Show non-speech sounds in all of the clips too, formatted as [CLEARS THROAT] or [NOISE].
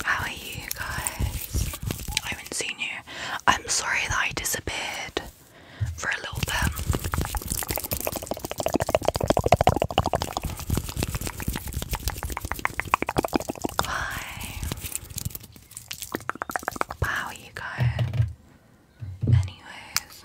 How are you guys? I haven't seen you. I'm sorry that I disappeared for a little bit. Bye. Wow, you go. Anyways.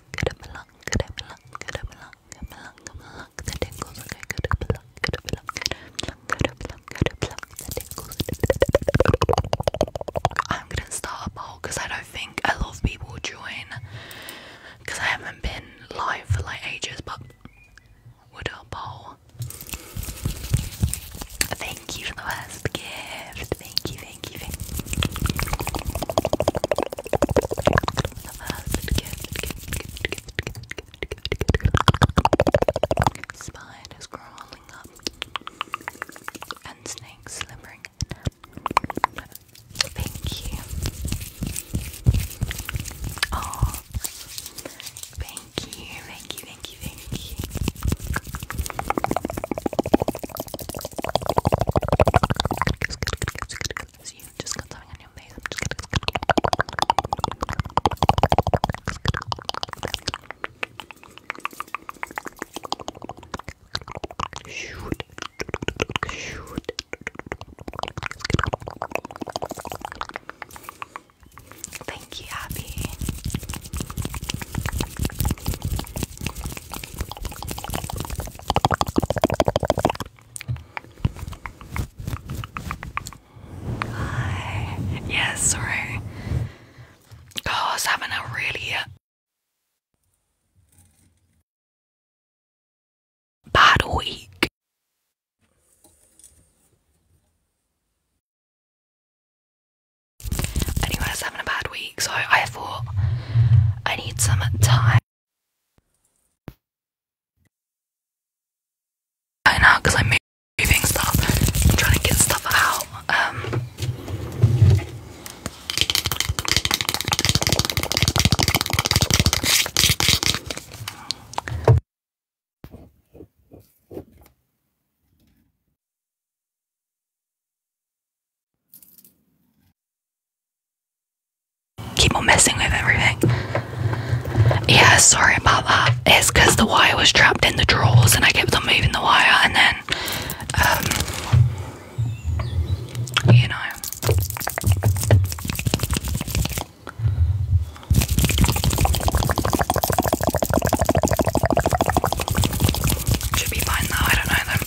I'm gonna start a poll because I don't think a lot of people join because I haven't been live for like ages but would a poll Thank you for the first gift. Thank you, thank giving the first gift, gift, gift, gift, gift, gift, gift, gift. Spiders crawling up and snakes slithering. Thank you. Oh, thank you, thank you, thank you, thank you. So you just got something on your face. I'm just gonna shoot, shoot. Thank you, Abby. Hi. Yeah, sorry. God, I was having a really uh, bad week. Anyway, I was having a bad week so I thought I need some time. I know, because I'm moving stuff, trying to get stuff out. Um, Keep on messing with everything. Yeah, sorry about that. It's because the wire was trapped in the drawers and I kept on moving the wire and then, um, you know. Should be fine though, I don't know them.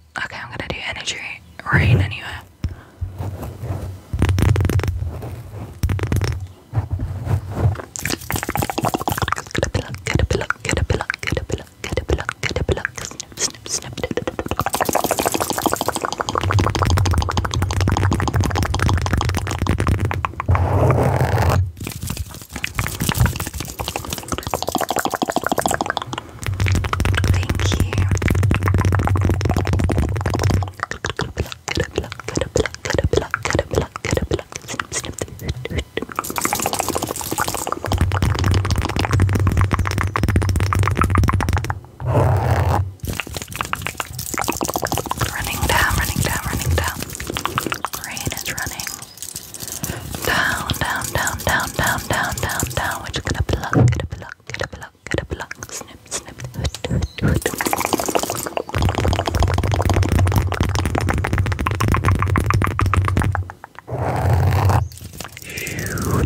Okay, I'm gonna do energy rain anyway. Thank you. Running down, running down, running down. Rain is running down, down, down, down, down, down, down, down. We're just gonna pluck, gonna pluck, gonna pluck, gonna pluck. Snip, snip, snip, snip, snip. Shoot.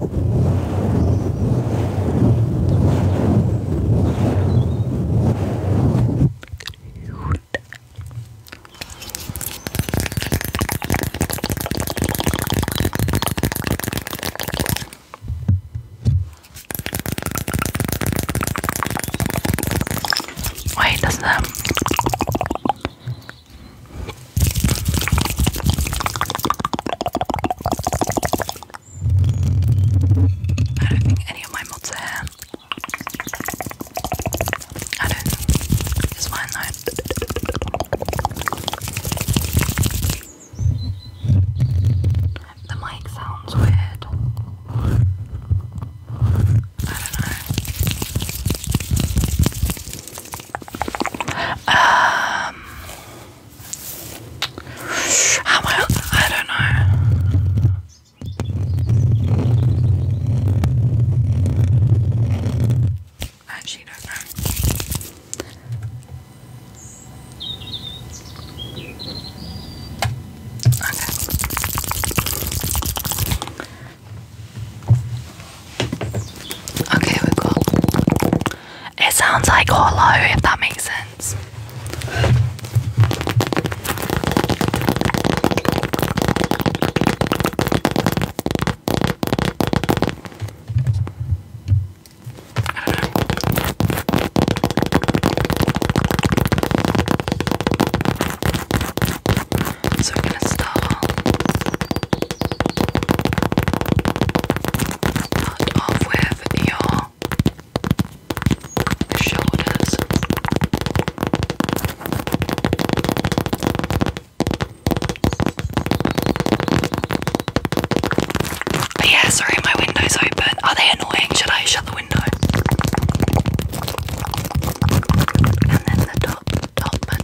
Wait, does that I don't think any of my mods are here. I don't. It's fine though. The mic sounds weird. I don't know. Um. How ah, I, don't know. I actually don't know. Okay. we've it sounds like hollow, if that makes sense. So we're gonna start start off with your shoulders. But yeah, sorry, my window's open. Are they annoying? Should I shut the window? And then the top, top, and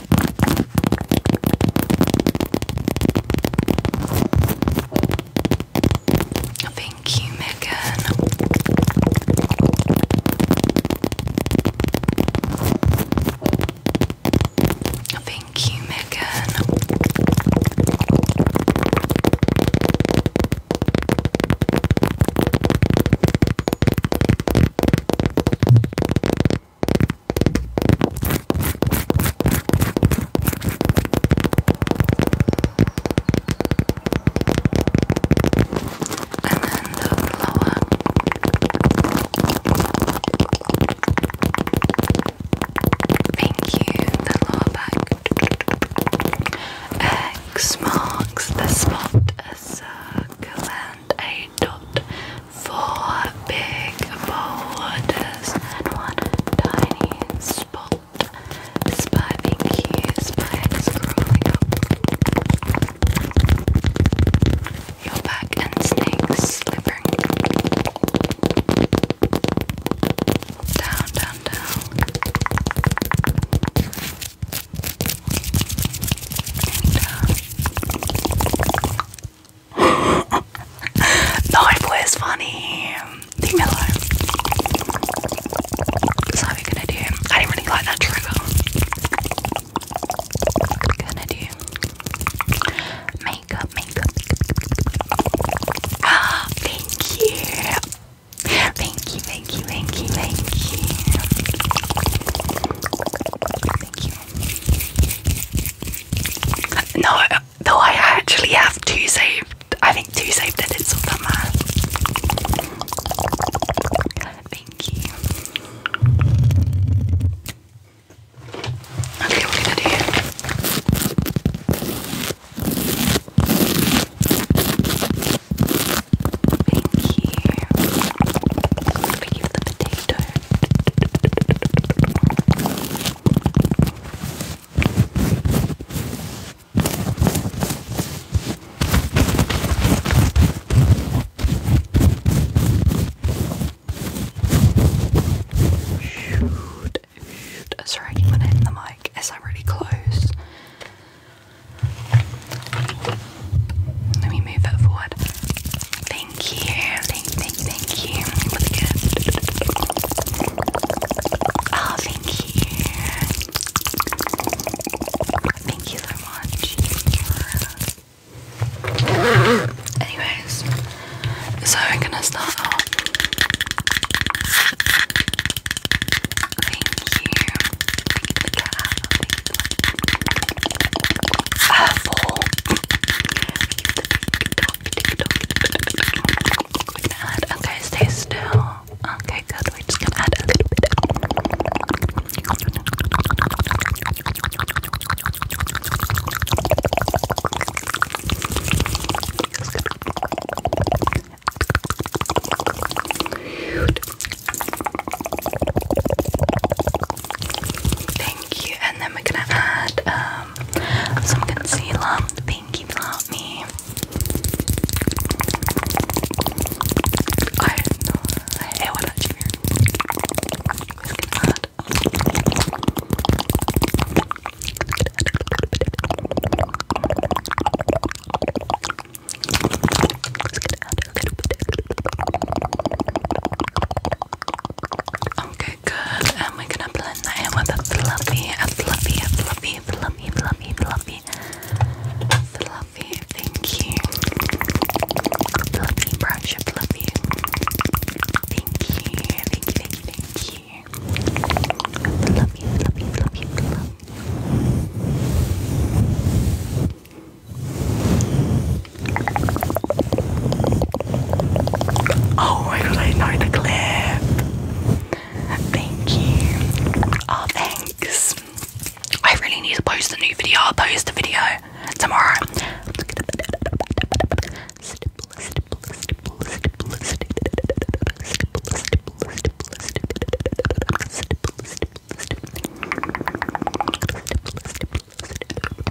Thank you, Megan. Thank you, Megan. And then the blower. Thank you, the lower back. X marks the spot a circle and a dot. Four big borders, and one tiny spot. Spiving cues spikes crawling your back and snakes slithering down, down, down no, was [LAUGHS] funny. Leave So what are gonna do? I didn't really like that trigger. Gonna do makeup, makeup. Ah, [GASPS] Thank you, thank you, thank you, thank you. Thank you, no, though I actually have two saved. I think two saved and it's all that matter. Thank you. Okay, we're gonna do. Thank Thank you for the potato. Shoot, shoot. Sorry, I keep on hitting the mic as I'm really close. Let me move that forward. Thank you. Thank, thank, thank you for the gift. Oh, thank you. Thank you so much. Anyways, so we're gonna start off. Thank you. Thank you for the cat. Thank you uh, for we're gonna add, okay, stay still okay, good, we're just gonna add a little bit Thank you. And then we're gonna add um, some concealer. Thank you, love Okay, good. And we're gonna blend that with a fluffy, a fluffy, a fluffy, fluffy, fluffy, fluffy, fluffy. Thank you. Fluffy brush, fluffy. Thank you, thank you, thank you, thank you. Fluffy, fluffy, fluffy, fluffy. Oh, I know the clip. Thank you. Oh, thanks. I really need to post a new video. I'll post a video tomorrow. Okay, good. Thank you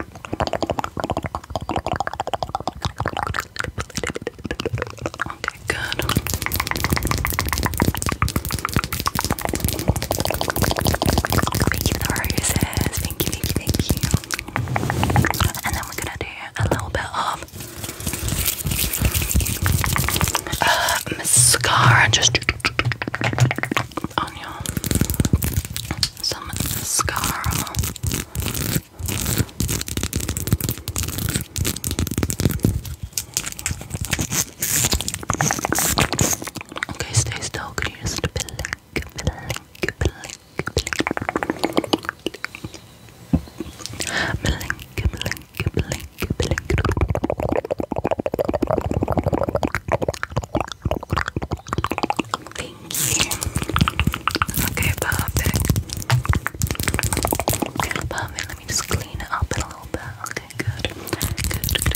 for Thank you, thank you, thank you. And then we're gonna do a little bit of uh, mascara. Just on some mascara. Okay, stay still. Can you just blink, blink, blink, blink, blink, blink, blink, blink? Thank you. Okay, perfect. Perfect. Let me just clean it up a little bit. Okay, good. Good,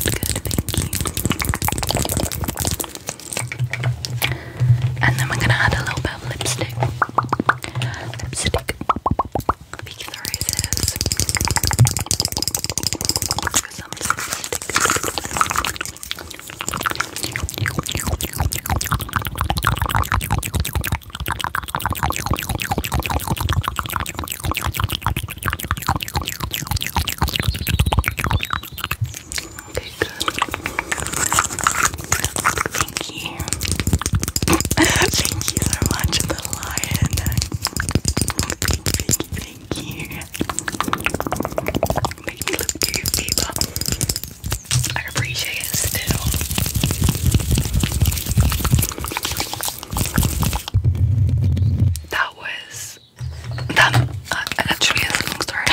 good, Thank you. And then we're gonna add a little bit of lipstick. Lipstick. Peek the because I'm Okay, good. Thank [LAUGHS] you. Thank you so much, the lion. Thank you, thank you, Thank you. Make me look goofy, I appreciate it still. That was that uh, actually is a long story.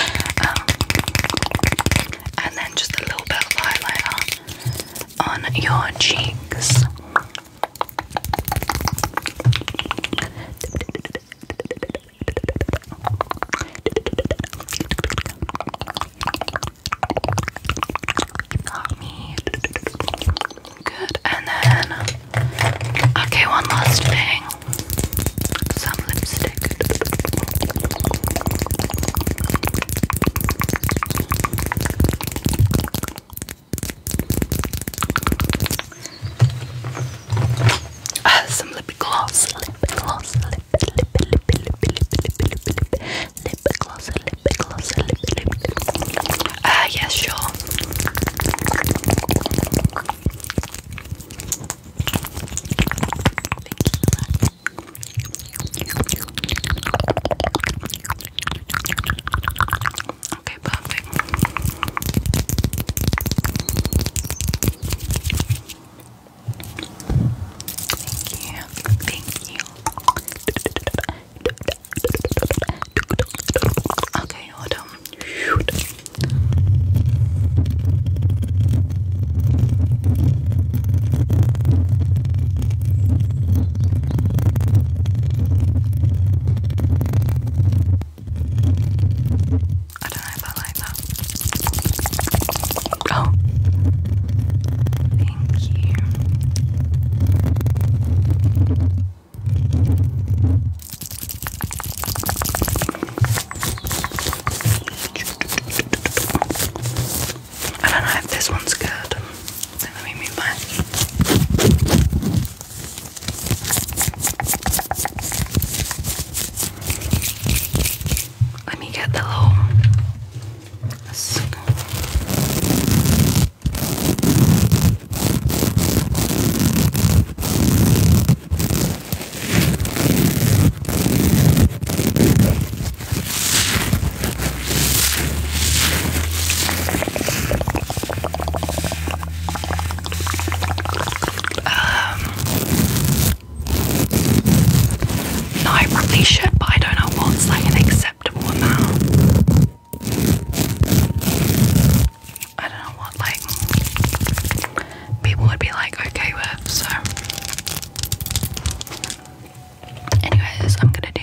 Um, and then just a little bit of highlighter on your cheeks. You got me. Good. And then, okay, one last thing. Some lipstick. Uh, some lip gloss, lip gloss, lip, lip, lip, lip, lip, lip, lip, lip, lip, gloss, lip gloss, lip, Ah, yes, sure. Okay, perfect. Thank Thank you. Okay, hold on. I don't know if I like that. Oh, thank you. I don't know if this one's good. let me move my let me get the little no, I probably should, but I don't know what's like an acceptable amount. I don't know what like people would be like okay with. So, anyways, I'm gonna do.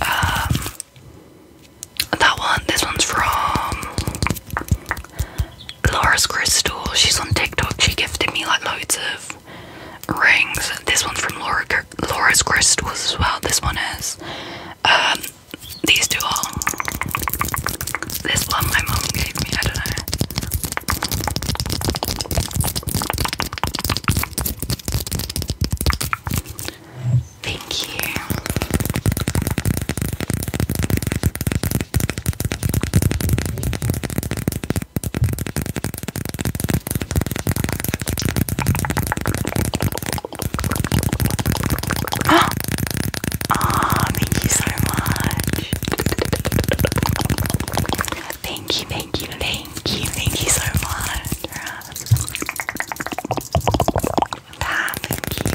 Um, that one, this one's from Laura's Crystal. She's on TikTok. She gifted me like loads of rings. This one's from Laura's Crystals as well. This one is. Um, these two are. This one my mom gave me, I don't know. Thank you. [GASPS] Ah, oh, thank you much. Thank you, thank you, thank you, thank you so much. Bye, thank you.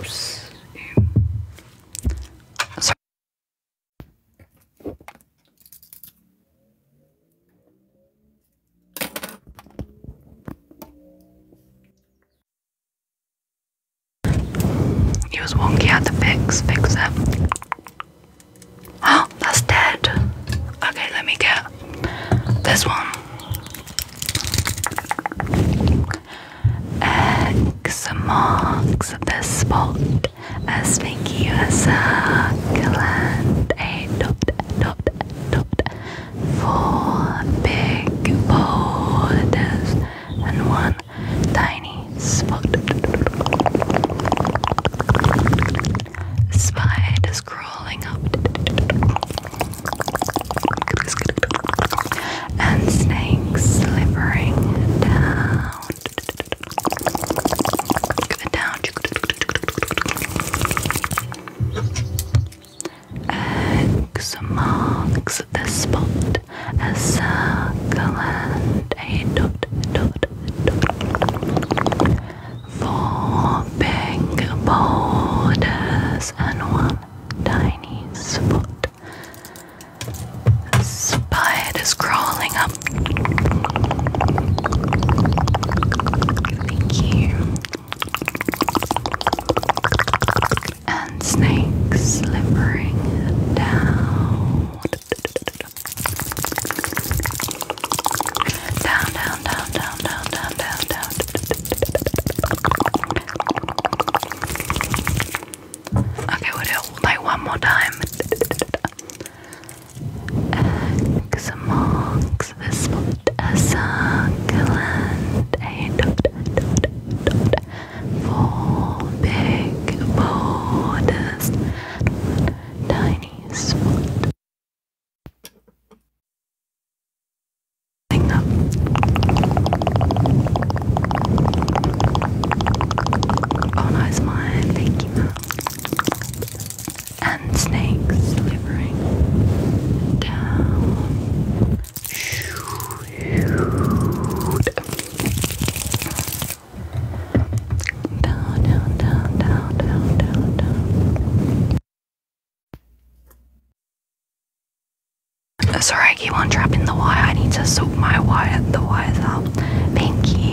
Oops. Sorry. It was wonky, had to fix, fix him. Oh, [GASPS] that's dead. Okay, let me get this one. X marks the spot. Aspicuous gland. A dot dot dot. Four big borders and one tiny spot. Spiders crawling up, and snakes slithering down. Down. marks the spot, a circle and a dot four big boulders and one tiny spot. Spiders crawling up. Thank you. And snakes slithering down. Down, down, down, down, down, down, down, down. Okay, we do like one more time. X marks the spot, a and a dot, dot, dot. Four big borders, tiny spot. Oh no, it's mine. Thank you, And snakes slithering Down, down, down, down, down, down, down. Sorry, I keep on trapping the wire. I need to soak my wire, the wires out. Thank you.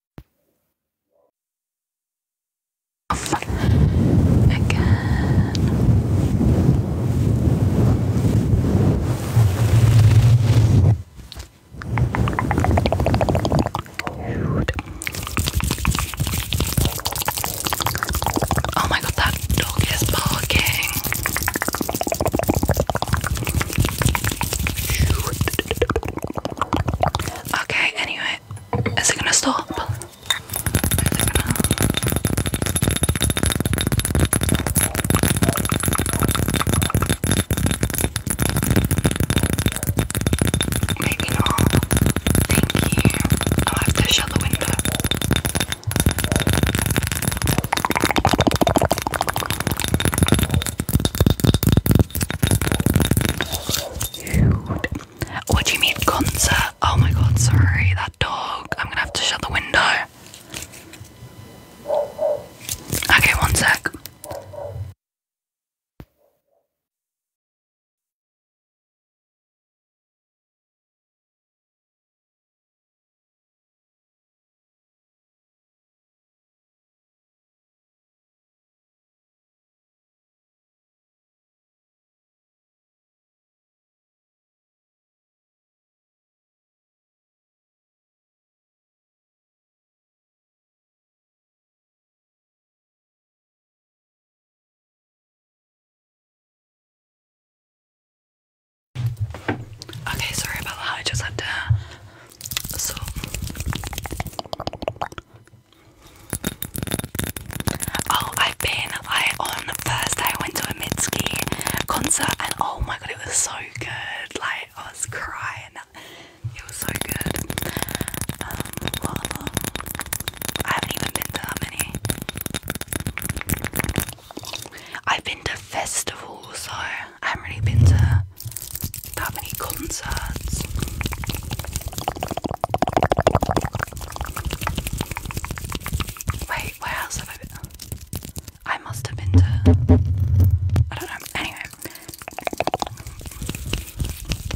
again. Oh my god, that dog is barking. Okay, anyway, is it Is it gonna stop? Maybe not. Thank you. i have to shut the window. Dude, what do you mean concert? Oh my god, sorry, that dog. I'm gonna have to shut the window. Okay, one sec. Okay, sorry about that. I just had to sort Oh, I've been. I on Thursday I went to a Mitski concert and oh my god, it was so good. Like I was crying. It was so good. Um, I haven't even been to that many. I've been to festivals, so I haven't really been to that many concerts. Wait, where else have I been? I must have been to. I don't know. Anyway.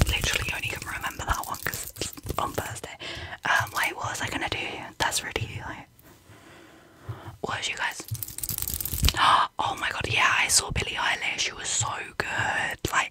Literally only can remember that one because it's on Thursday. Um, wait, what was I gonna do? That's really like. What was you guys? [GASPS] Oh my god, yeah, I saw Billie Eilish. She was so good. Like,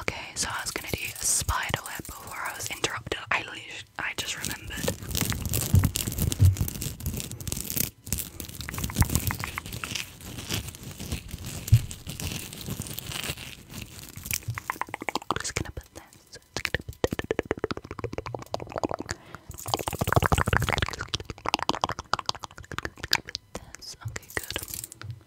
Okay, so I was gonna do a spider web before I was interrupted. I leash I just remembered. just Gonna put this. Okay, good.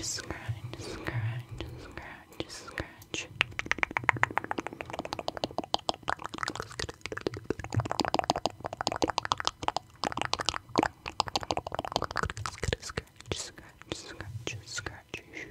scratch, scratch, scratch, scratch. Scratch, scratch, scratch, scratch, shoot.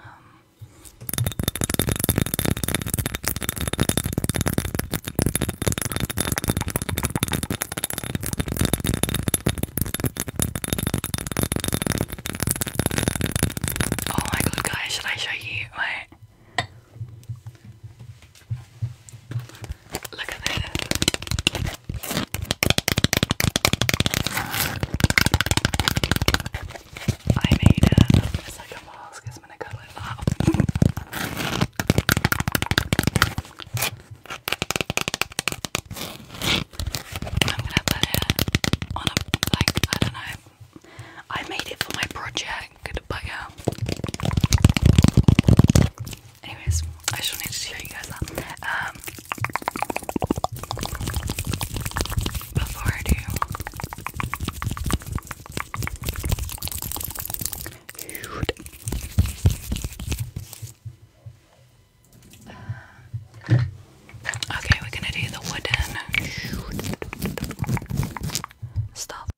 Um, oh my god guys, should I show you? Wait. Look at this. I made it. It's like a mask. It's gonna go like that. I'm gonna put it on a like I don't know. I made it for my project, but yeah. Anyways, I just wanted to show you guys that. Um, before I do, um, okay, we're gonna do the wooden stuff.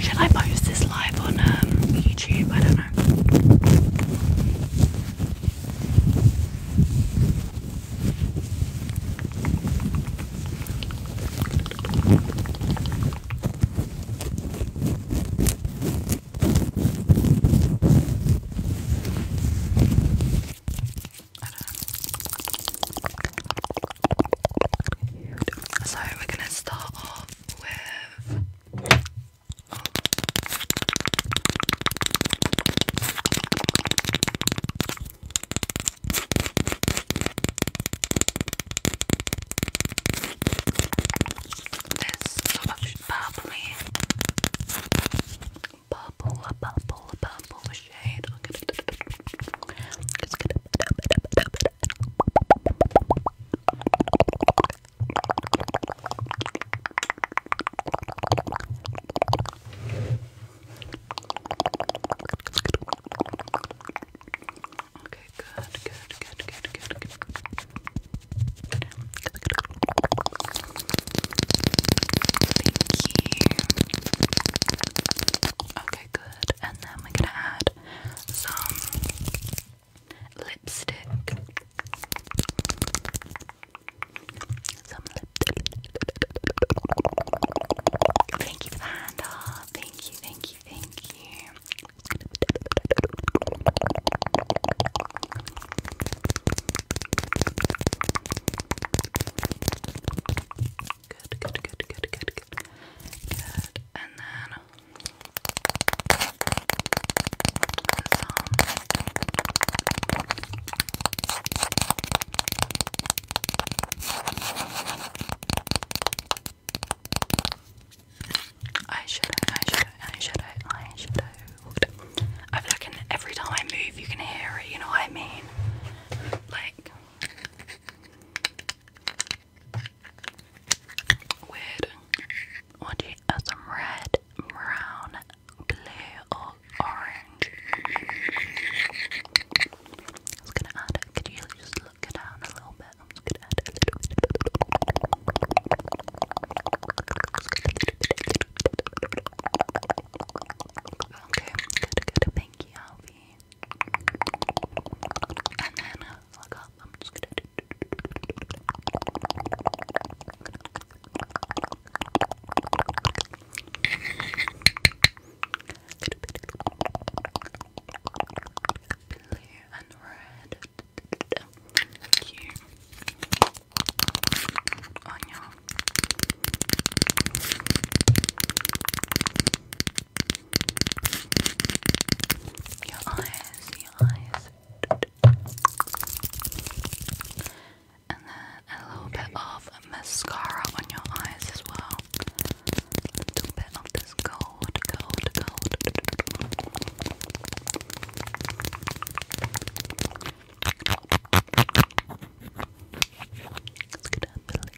Should I post this live on um, YouTube? I don't know. I So we're gonna start off with. This sort purple, a purple, a purple shade. Okay, good, good, good, good, good, good. Thank you. Okay, good. And then we're gonna add some lipstick. Some lip Thank you for Thank you, thank you, thank you. Good, good, good, good, good, good. Good. And then I should I should I should I should I feel like every time I move you can hear it, you know what I mean? Like Weird. What you have uh, some red, brown, blue, or orange? I was gonna add it. Could you just look down a little bit? Okay, good, good. Thank you, movie. And then look up. I'm just gonna. Blue and red. Cute. On your your eyes, your eyes. And then a little bit of mascara on your eyes as well. A bit of this gold, gold, gold. Let's get up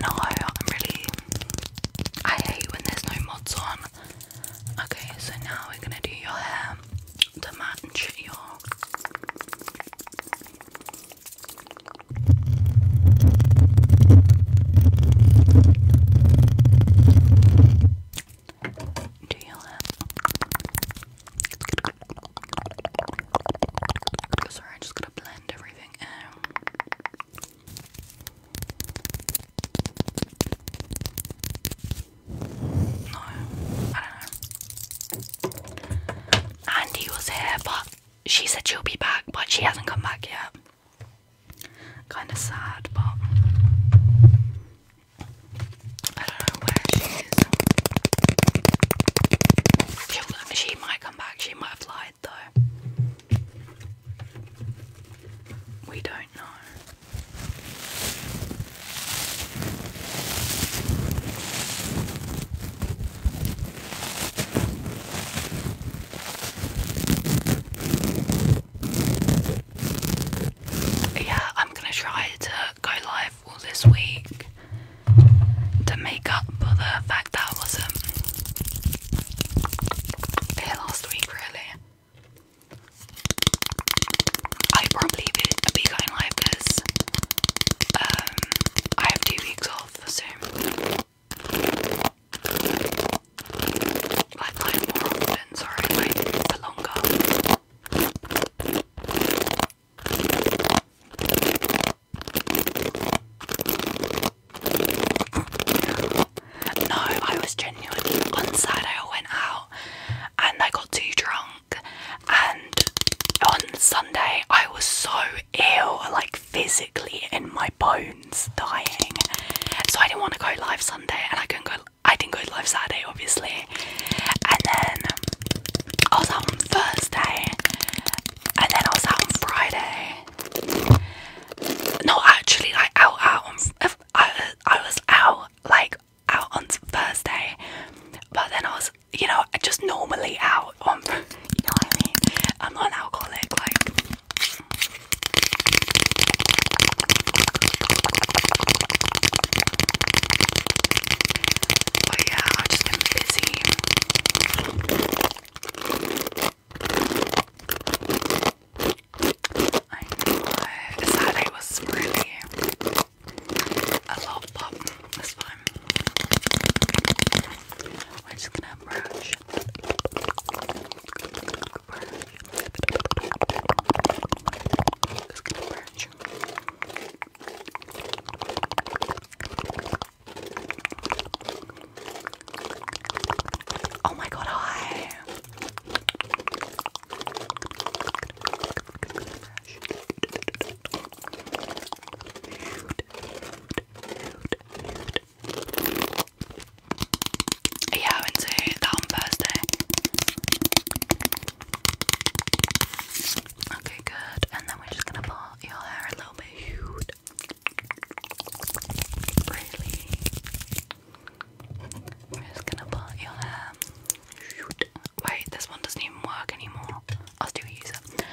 no, I'm really. I hate when there's no mods on. Okay, so now we're gonna do your hair to match your. Do your hair. Sorry, I'm just gonna blend it um, no, Andy was here, but she said she'll be back, but she hasn't come back yet. Kind of sad, but I don't know where she is. she she might come back, she might fly, we don't know. Yeah, I'm gonna try to go live all this week to make up for the fact that I wasn't here last week, really. I probably would be going live because um, I have two weeks off soon. Like, like more often, sorry, for longer. No, I was genuinely on Saturday. I went out and I got too drunk, and on Sunday I was so ill, like physically in my bones, dying. So I didn't want to go live Sunday, and I couldn't go. I didn't go live Saturday, obviously, and then I was on Thursday, and then I was out on Friday. No, actually, like out, out on. I, I was out like out on Thursday, but then I was, you know, just normally out on. [LAUGHS] You know I am not an alcoholic, like. yeah, I've just busy. I know. Saturday was really a lot of pop this We're just gonna brush. Just gonna brush. Oh my god, hi. Yeah, I went that on Thursday. Okay, good. And then we're just gonna part your hair a little bit. I'm just gonna part your hair. Wait, this one doesn't even work anymore. i still use it.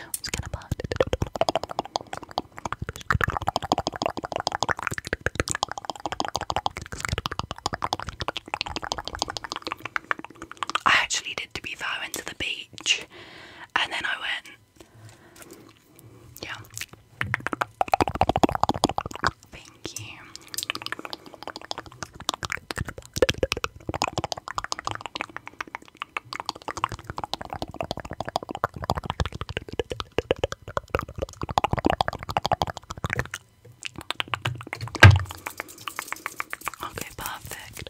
i actually did to be fair, I to the beach and then I went yeah. Thank you. Okay, perfect.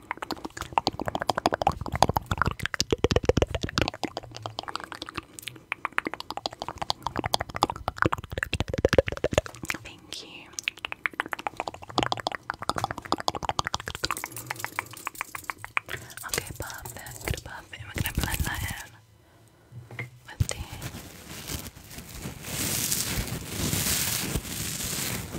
Thank you. Okay, perfect. Perfect. We're gonna blend that in with the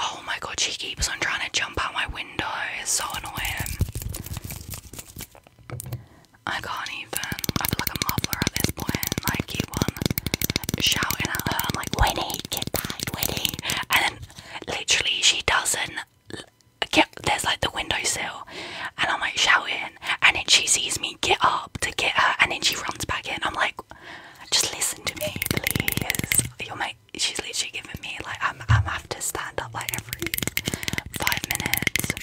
Oh my god, she keeps on trying to jump out my window. It's so annoying. I can't even. I feel like a muffler at this point. Like keep on shouting at her. I'm like, Winnie, get back, Winnie. And then literally she doesn't get there's like the windowsill and I'm like shouting and then she sees me get up to get her and then she runs back in. I'm like just listen to me, please. You're she's literally giving me like I'm I'm have to stand up like every five minutes.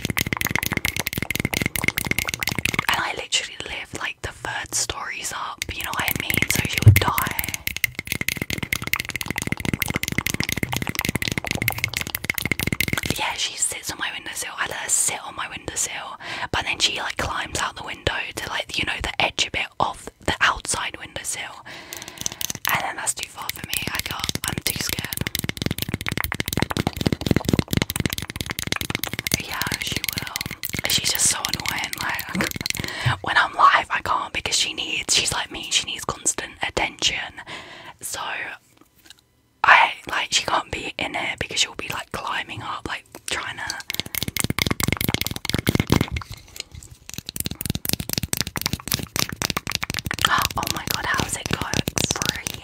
And I literally live like the third stories up, you know what I mean? So she would die. Yeah, she sits on my windowsill. I let her sit on my windowsill, but then she like climbs out the window to like, you know, the edge bit of the outside windowsill. And then that's too far for me. I can I'm too scared. Yeah, she will. She's just so annoying. Like [LAUGHS] when I'm live, I can't because she needs. She's like me. She needs constant attention. So I like she can't be in here because she'll be like climbing up, like trying to. [GASPS] Oh my god, how's it go? Free.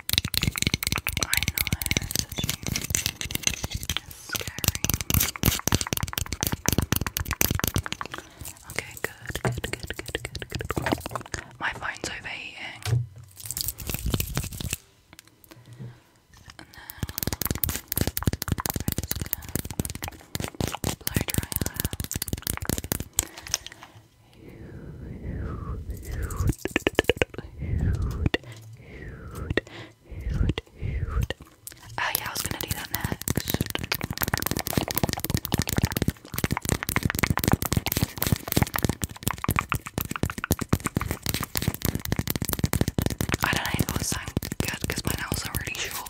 Okay, good, good, good, good, good, good. My phone's overheating. blow dry hair. Oh yeah, I was gonna do that next. I don't know it would sound good because my nails are really short.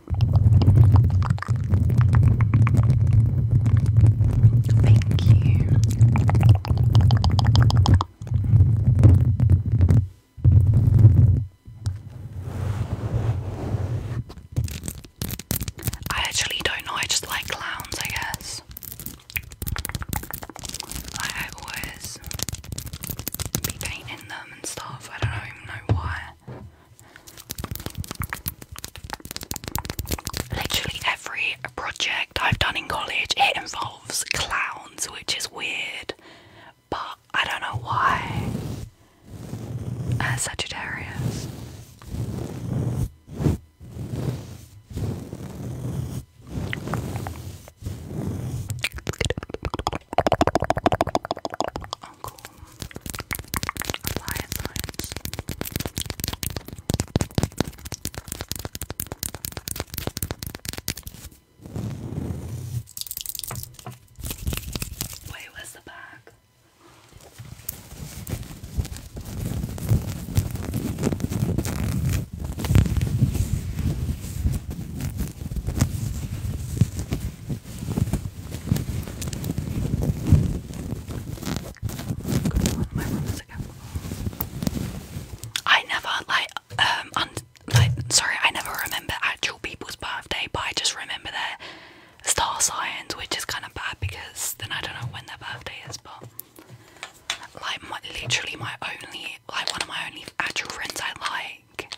Thank you. I actually don't know, I just like clowns, I guess. Like I always be painting them and stuff. I don't even know why. Literally every project I've done in college it involves clowns, which is weird, but I don't know why. Uh, Sagittarius. Leviathans. Wait, the bag? I never like um un like sorry, I never remember actual people's birthday, but I just remember their star signs, which is kind of bad because then I don't know when their birthday is. But like, my, literally, my only like one of my only actual friends I like.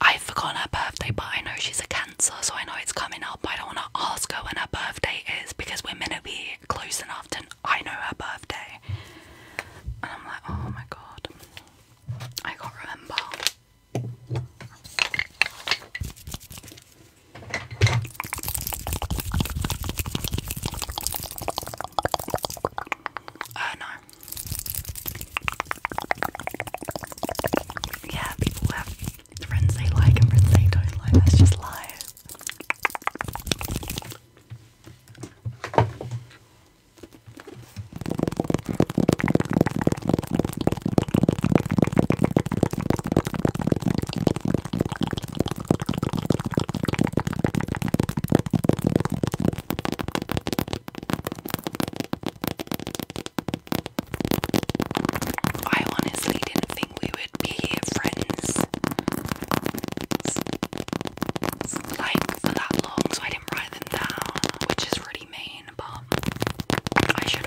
I have forgotten her birthday, but I know she's a Cancer, so I know it's coming up help. I don't want to ask her when her birthday is because we're going to be close enough to I know her birthday. And I'm like, oh my god, I can't remember. Uh, no. Yeah, friends they like and friends they don't like. That's just life. I honestly didn't think we would be here, friends, like for that long, so I didn't write them down, which is really mean, but I should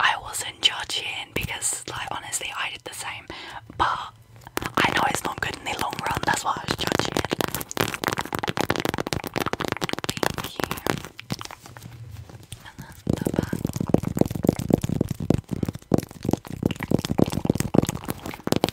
I wasn't judging because, like, honestly, I did the same, but I know it's not good in the long run, that's why I was judging it.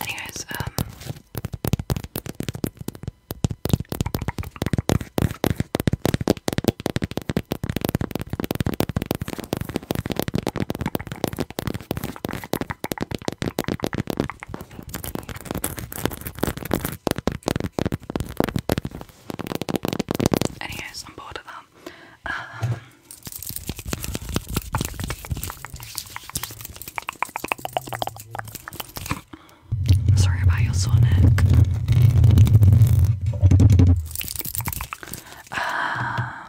Anyways, um Anyways, I'm bored of that. Um, sorry about your sore neck. Um,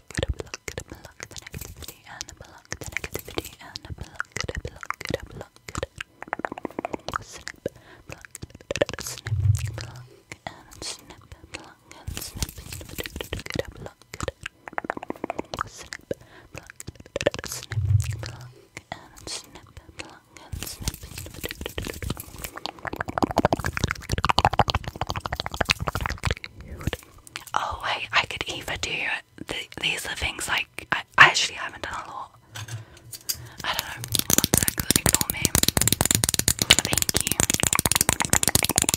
block it, block the negativity and block the negativity and block it, block it, block it. Snip, block, snip, block and snip, block and snip, snip, block it. Snip, block, snip, block and snip, block and snip. Snip, Oh wait, I could either do th these are things like I, actually haven't done a lot. I don't know. One sec, me. Thank you.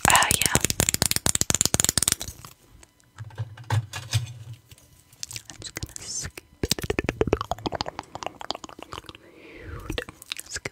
Uh, yeah. I'm just gonna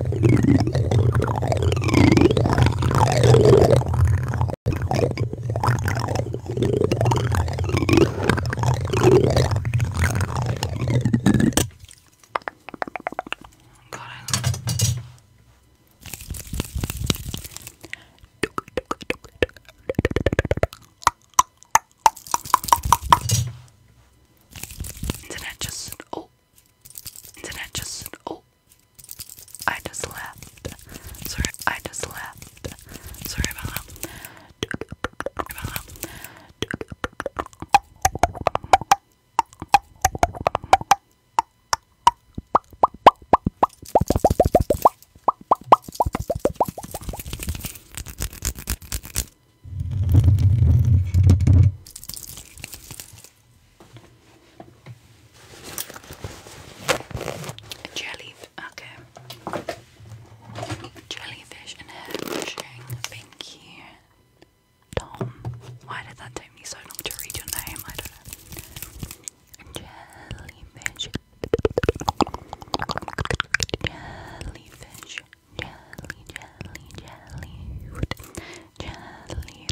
Internet just oh, internet just oh, I just left. Sorry, I just left. Sorry about that. Jelly, okay. Jellyfish and hairbrushing. Thank you, Tom. Why did that take me so long to read your name? I don't know. Jellyfish. Jellyfish. Jelly, jelly, jelly. Jellyfish.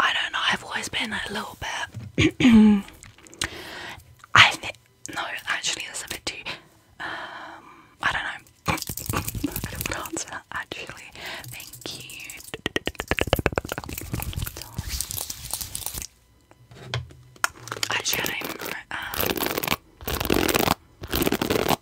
I don't know, I've always been a little bit. [CLEARS THROAT] I No, actually, that's a bit too. Um, I don't know. [LAUGHS] I don't answer actually. Thank you. Actually, Um,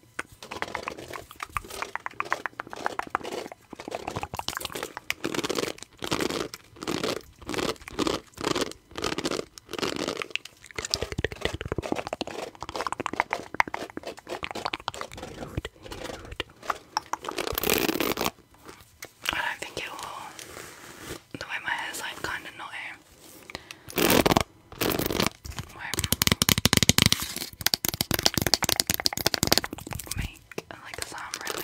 I don't think it will. The way my hair's like kind of knotty make like a sound really.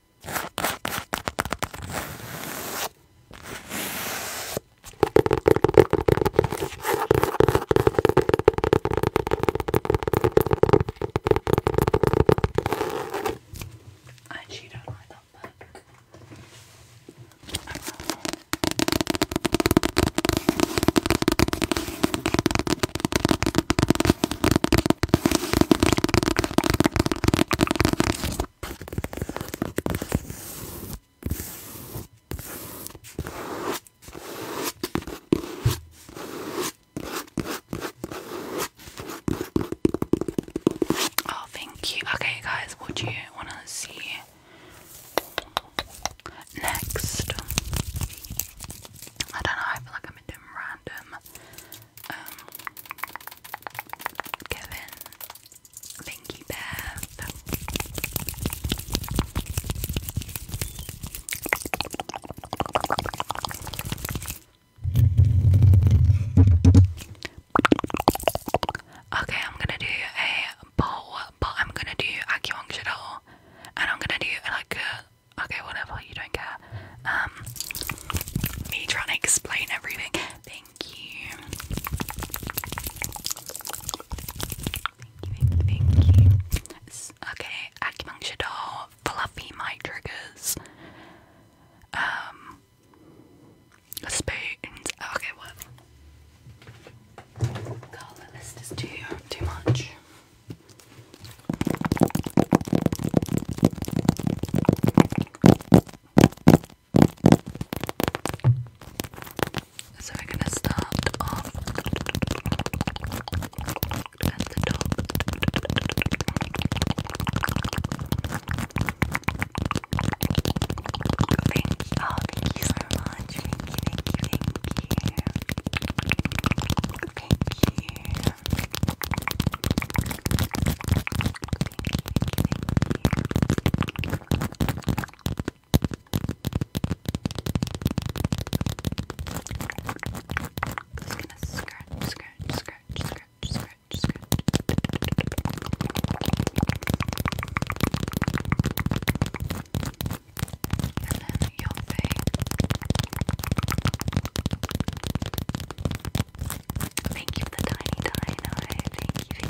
I actually don't like that book. Oh, thank you. Okay, guys, what do you want to see next? I don't know, I feel like I'm in random. Um, Thank you, Bear. Okay, I'm gonna do a bow, but I'm gonna do acupuncture doll, and I'm gonna do like a okay, whatever you don't care. Um, me trying to explain everything. Thank you. Thank you, thank you, Okay, acupuncture doll, fluffy mic triggers, um, spoons. Okay, what? God, the list is too too much. So we're gonna start off at the top. Thank you, Thank you, thank you, thank you. Thank you. Just gonna scratch, scratch, scratch, scratch, scratch, scratch. And then your face. Thank you for the tiny dino. Thank you, thank you,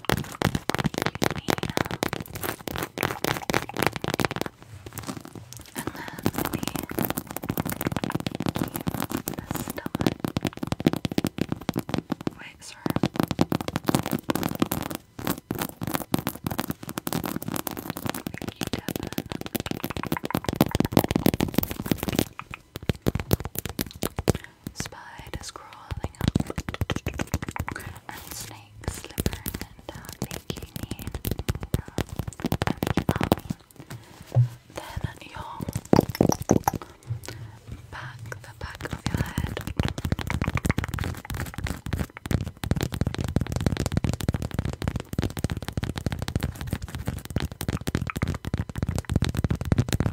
And then the, the stomach. Wait, sir. Thank you, Devin. Spiders crawling up, and snakes slithering down, making me yummy. Then your back, the back of your head.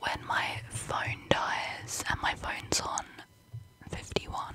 when my phone dies, and my phone's on 51.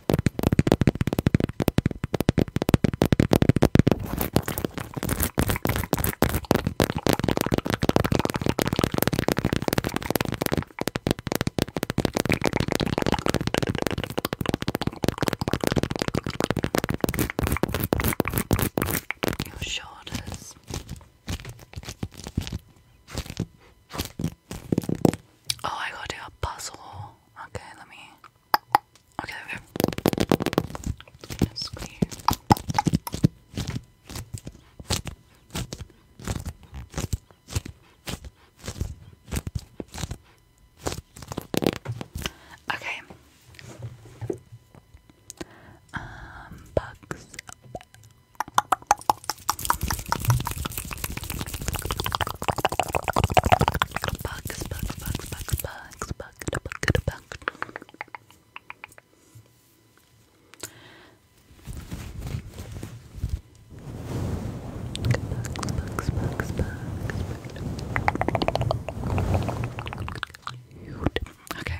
Your shoulders. Oh, I gotta a puzzle. Okay, let me. Okay, okay. Just um, clear. bugs. Bugs, bugs, bugs, bugs, bugs, bugs, bugs, bugs. Bugs, bugs, bugs, bugs. Okay.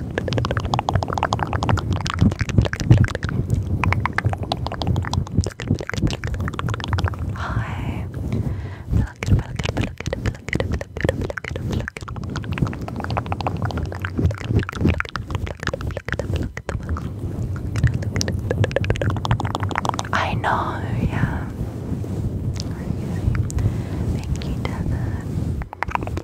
relax. Hi. I know, yeah. Thank you, Devin.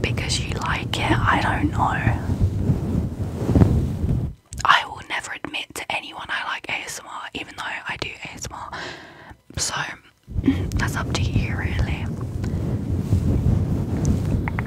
Because you like it, I don't know. I will never admit to anyone I like ASMR, even though I do ASMR. So [CLEARS THROAT] that's up to you, really.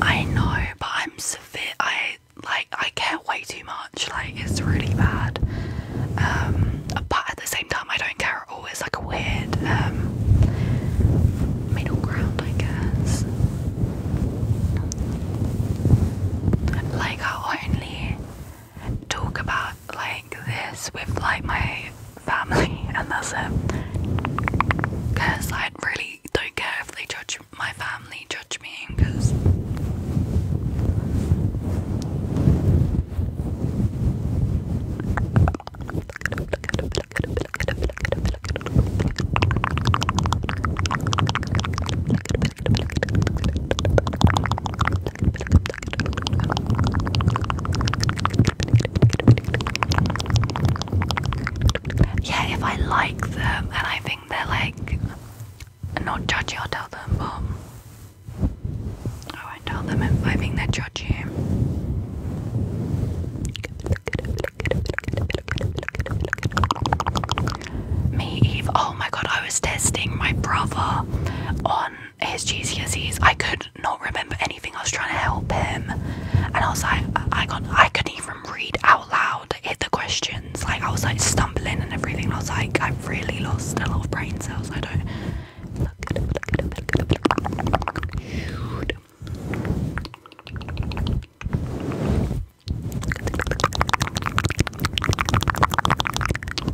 I know, but I'm severe. I like I care way too much. Like it's really bad. Um, but at the same time, I don't care at all. It's like a weird um, middle ground, I guess. Like I only talk about like this with like my family, [LAUGHS] and that's it. Because I really don't care if they judge my family, judge me, because. Yeah, if I like them and I think they're like not judgy, I'll tell them, but I won't tell them if I think they're judgy. Me, Eve. Oh my god, I was testing my brother on his GCSEs. I could not remember anything. I was trying to help him, and I was like, I got, I couldn't even read out loud hit the questions. Like I was like stumbling and everything. I was like, I've really lost a lot of brain cells. I don't. Look at look at look at look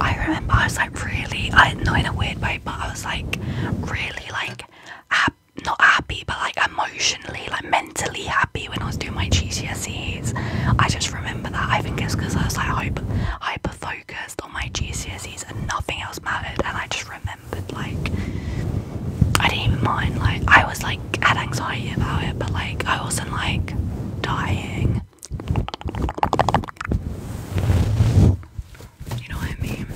I remember I was like really, I, not in a weird way, but I was like really like not happy, but like emotionally, like mentally happy when I was doing my GCSEs. I just remember that. I think it's because I was like hyper, focused on my GCSEs and nothing else mattered. And I just remembered like I didn't even mind. Like I was like had anxiety about it, but like I wasn't like dying. You know what I mean?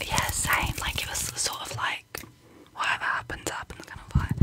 Yeah, same. Like it was sort of like whatever happens, happens kind of like.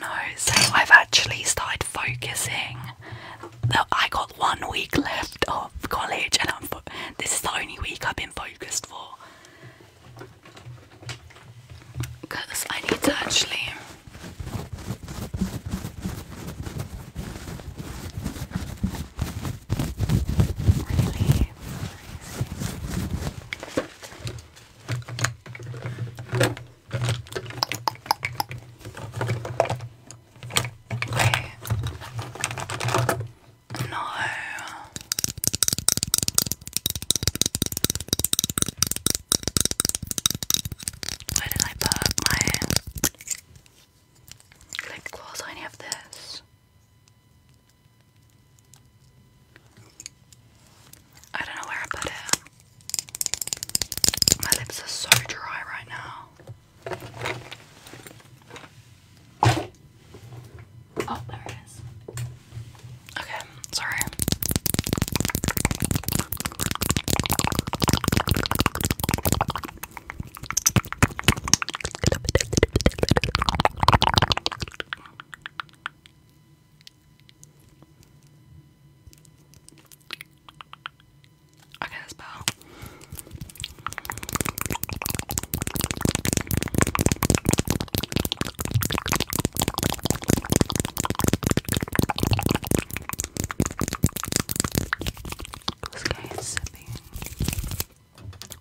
No, so I've actually started focusing. I got one week left of college, and I'm this is the only week I've been focused for. Because I need to actually. Really no. Where did I put my lip gloss? I have this. I don't know where I put it. My lips are so dry right now. Oh, there it is. Okay, sorry. Okay, that's better.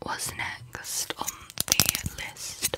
What's next on the list?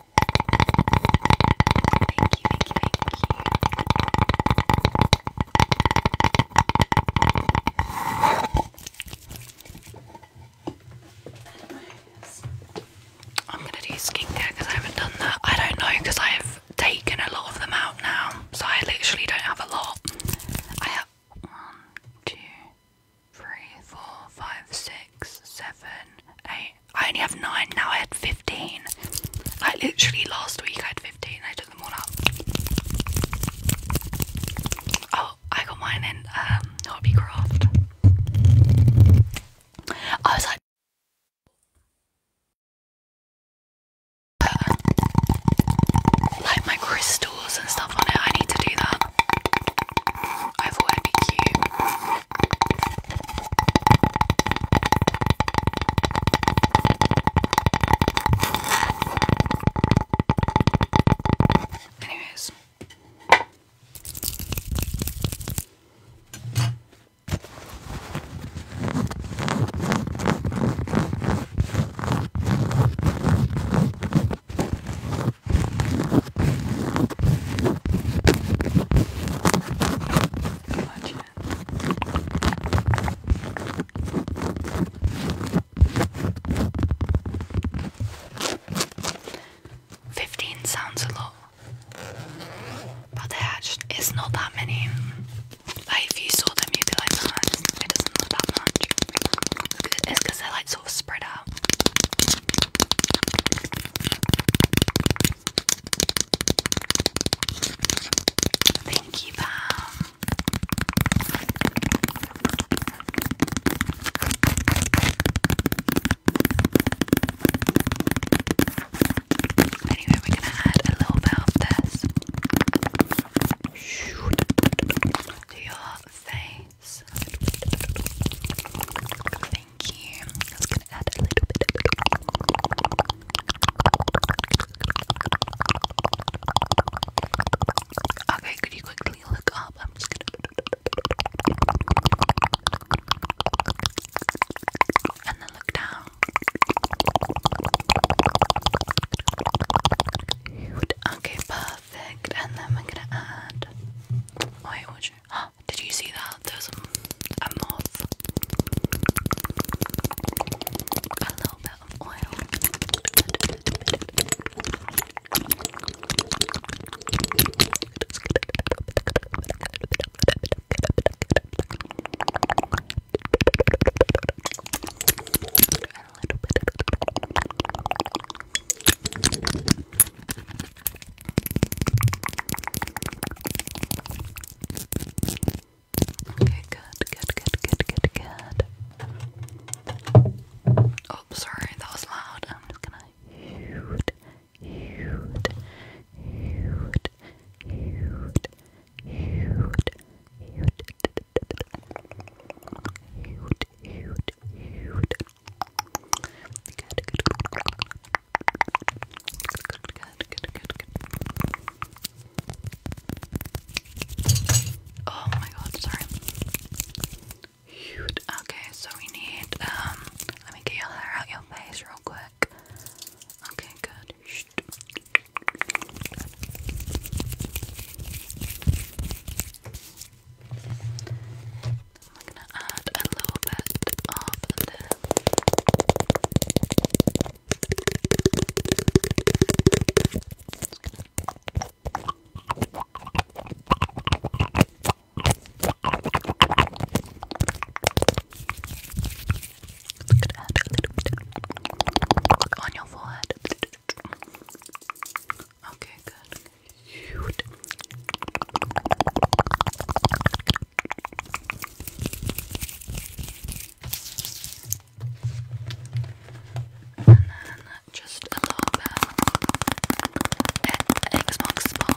Thank you, I'm gonna do skincare I haven't done that. I don't know I have taken a lot of them out now, so I literally don't have a lot. I have one, two, three, four, five, six, seven, eight. I only have nine now. I had fifteen. Like literally last week, I had fifteen. I took them all up. Oh, I got mine in um, craft. I was like. Like my crystals and stuff on it, I need to do that. I thought it'd be cute. Anyways. Fifteen sounds a lot, but there is not that many. Like if you saw them, you'd be like, no, it doesn't look that much. It's they're like sort of spread out. Thank you, Pam. Anyway, we're gonna add a little bit of this to your face thank I'm just gonna add a little bit Okay, could you quickly look up? I'm just gonna and then look down. Okay, perfect. And then we're gonna add. Wait, which [GASPS] Did you see that? There's a, moth. A little bit of oil. Okay, good, good, good, good, good, good. Oh, sorry, that was loud. I'm just gonna Good, good, good, good, good, good. Oh my god, sorry. Shoot. Okay, so we need, um, let me get your hair out your face real quick. Okay, Good. I'm gonna add a little bit of the on your forehead. Okay, good cute. And then just a little bit at Xbox ball.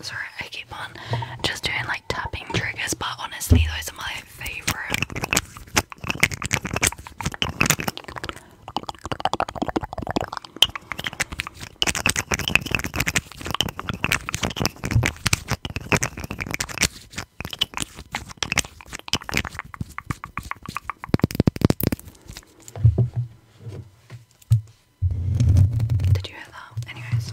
Sorry, I keep on just doing like tapping triggers, but honestly, those are my favorite. Did you hear that? Anyways.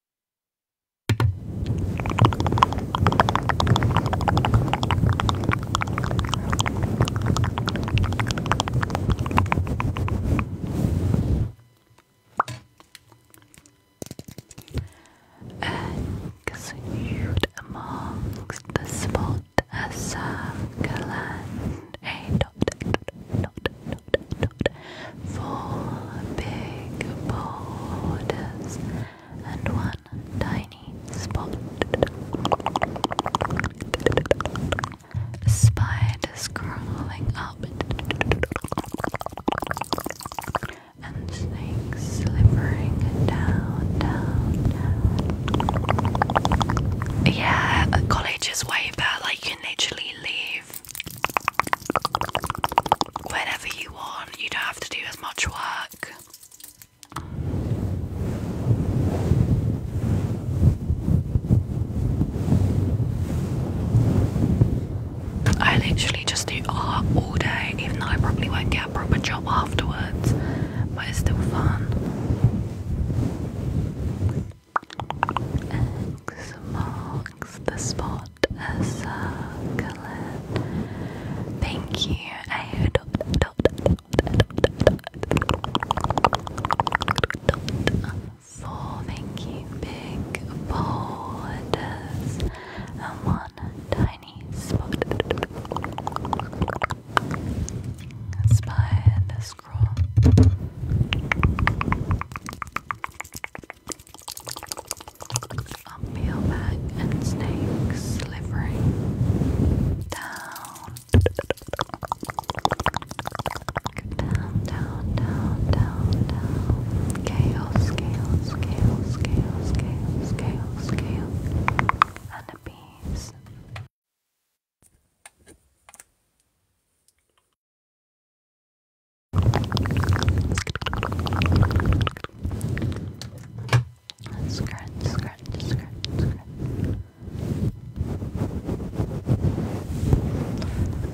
Exude amongst the spot a circle and a dot, four big boulders and one tiny spot. Spiders crawling up and snakes slithering down, Yeah, college is way better. Like you naturally literally leave whenever you want, you don't have to do as much work. I literally just do art all day, even though I probably won't get a proper job afterwards, but it's still fun. X marks the spot. Thank you. I dot dot dot Thank you. Big borders and one tiny spot. Spider scroll. Up your back and snake slithering down. Down, down, down, down, down. Chaos, chaos, chaos, chaos, chaos, chaos, chaos. And a piece.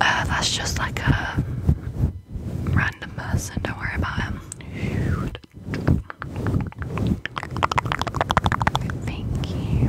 Uh, that's just like a random person, don't worry about him. Thank you.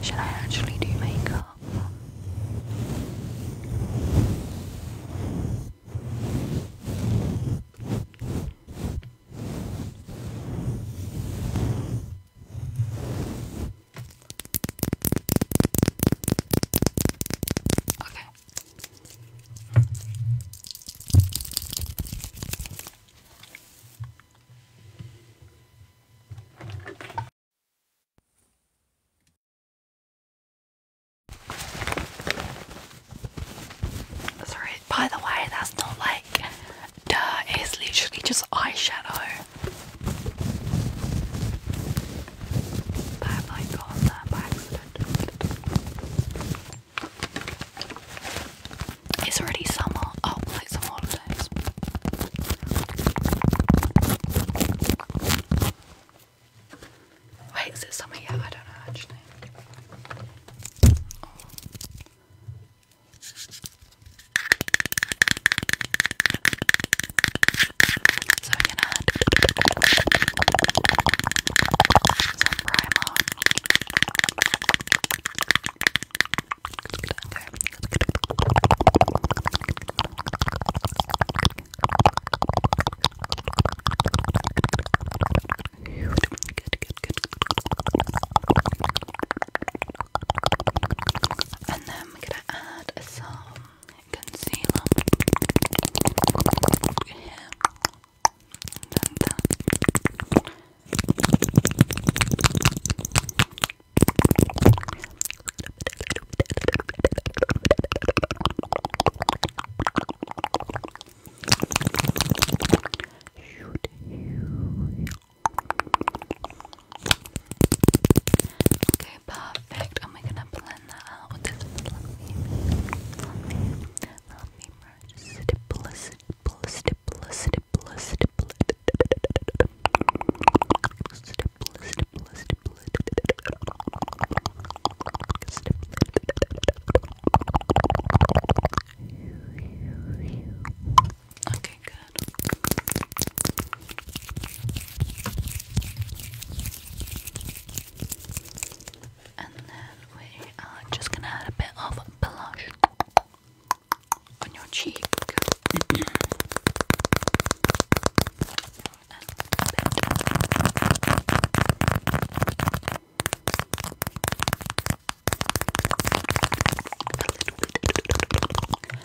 Should I actually do makeup? Okay. Sorry, by the way, that's not like duh, it's literally just eyeshadow. It's already summer. Oh, like some holidays. Wait, is it summer yet? I don't know actually. So I'm gonna add some primer. Okay. Good, good, good. And then i am gonna add some concealer And then that. Okay, perfect. And we're gonna blend that out with this fluffy, fluffy, fluffy brush. Stipple, stipple, stipple, stipple, stipple, stipple, stipple, stipple, stipple. Okay, good. And then we are just gonna add a bit of blush on your cheek. [CLEARS THROAT]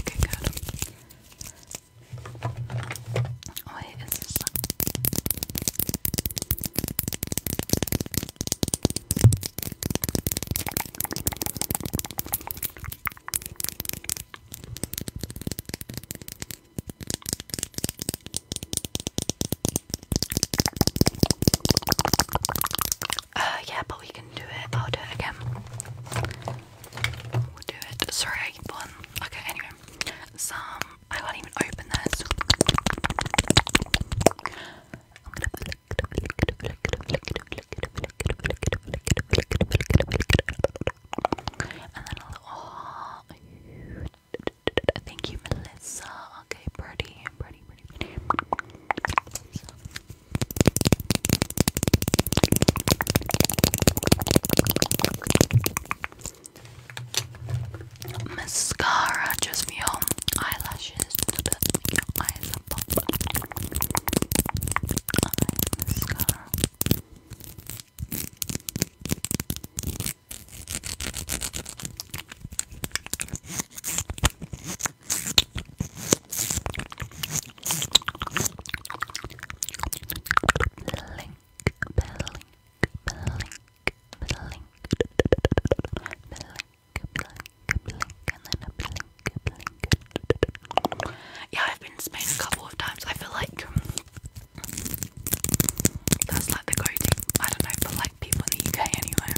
Okay, Uh, yeah, but we can do it. I'll do it again. Sorry, I Okay, anyway. Some. I can't even open this. am going And then I'll. Oh, thank you, Melissa. Okay, pretty, pretty, pretty. Mascara just me your eyelashes. Your eyes pop. Eye mascara. Yeah, I've been to a couple of times. I feel like um, that's like the go-to. I don't know, but like people in the UK anyway.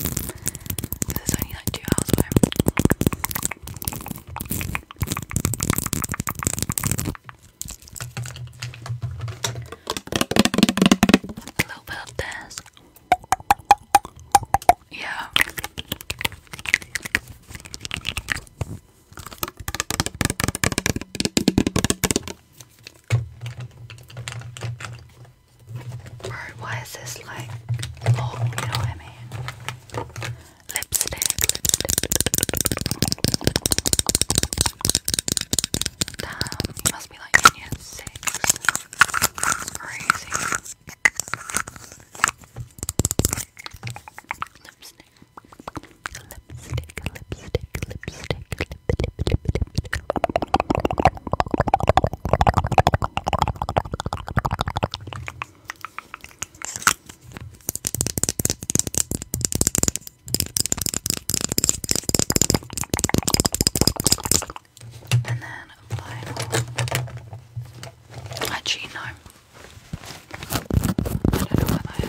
Because it's only like two hours a little Yeah. Bro, why is this like long? You know what lipstick, lipstick. must be like six. crazy. Lipstick. Lipstick, lipstick, lipstick, lip, lip, lip, and then apply it all. Actually, no. I don't know what that is.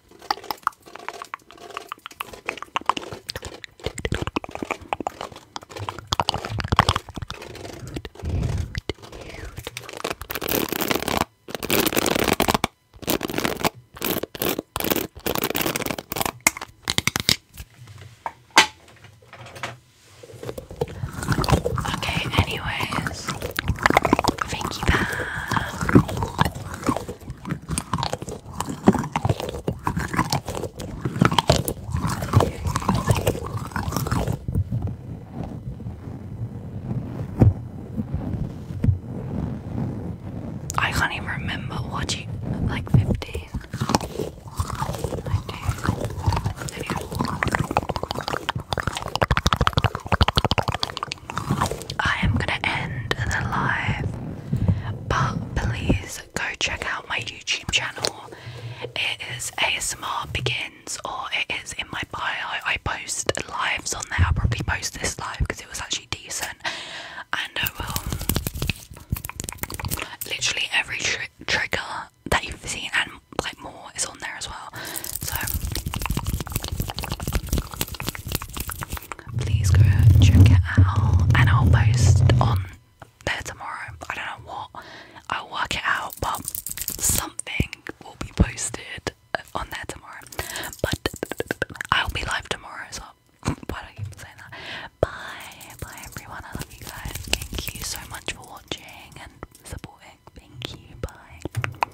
Okay, anyways, Frankie I can't even remember watching like 15. Anyway. I am gonna end the live, but please go check out my YouTube channel. It is ASMR Begins, or it is in my bio. I post lives on there. I'll probably post this live because it was actually decent, and Literally every trigger that you've seen and like more is on there as well. So please go check it out, and I'll post on there tomorrow. I don't know what I'll work it out, but something will be posted on there tomorrow. But I'll be live tomorrow, so why do I keep saying that? Bye, bye everyone. I love you guys. Thank you so much for watching and supporting. Thank you. Bye.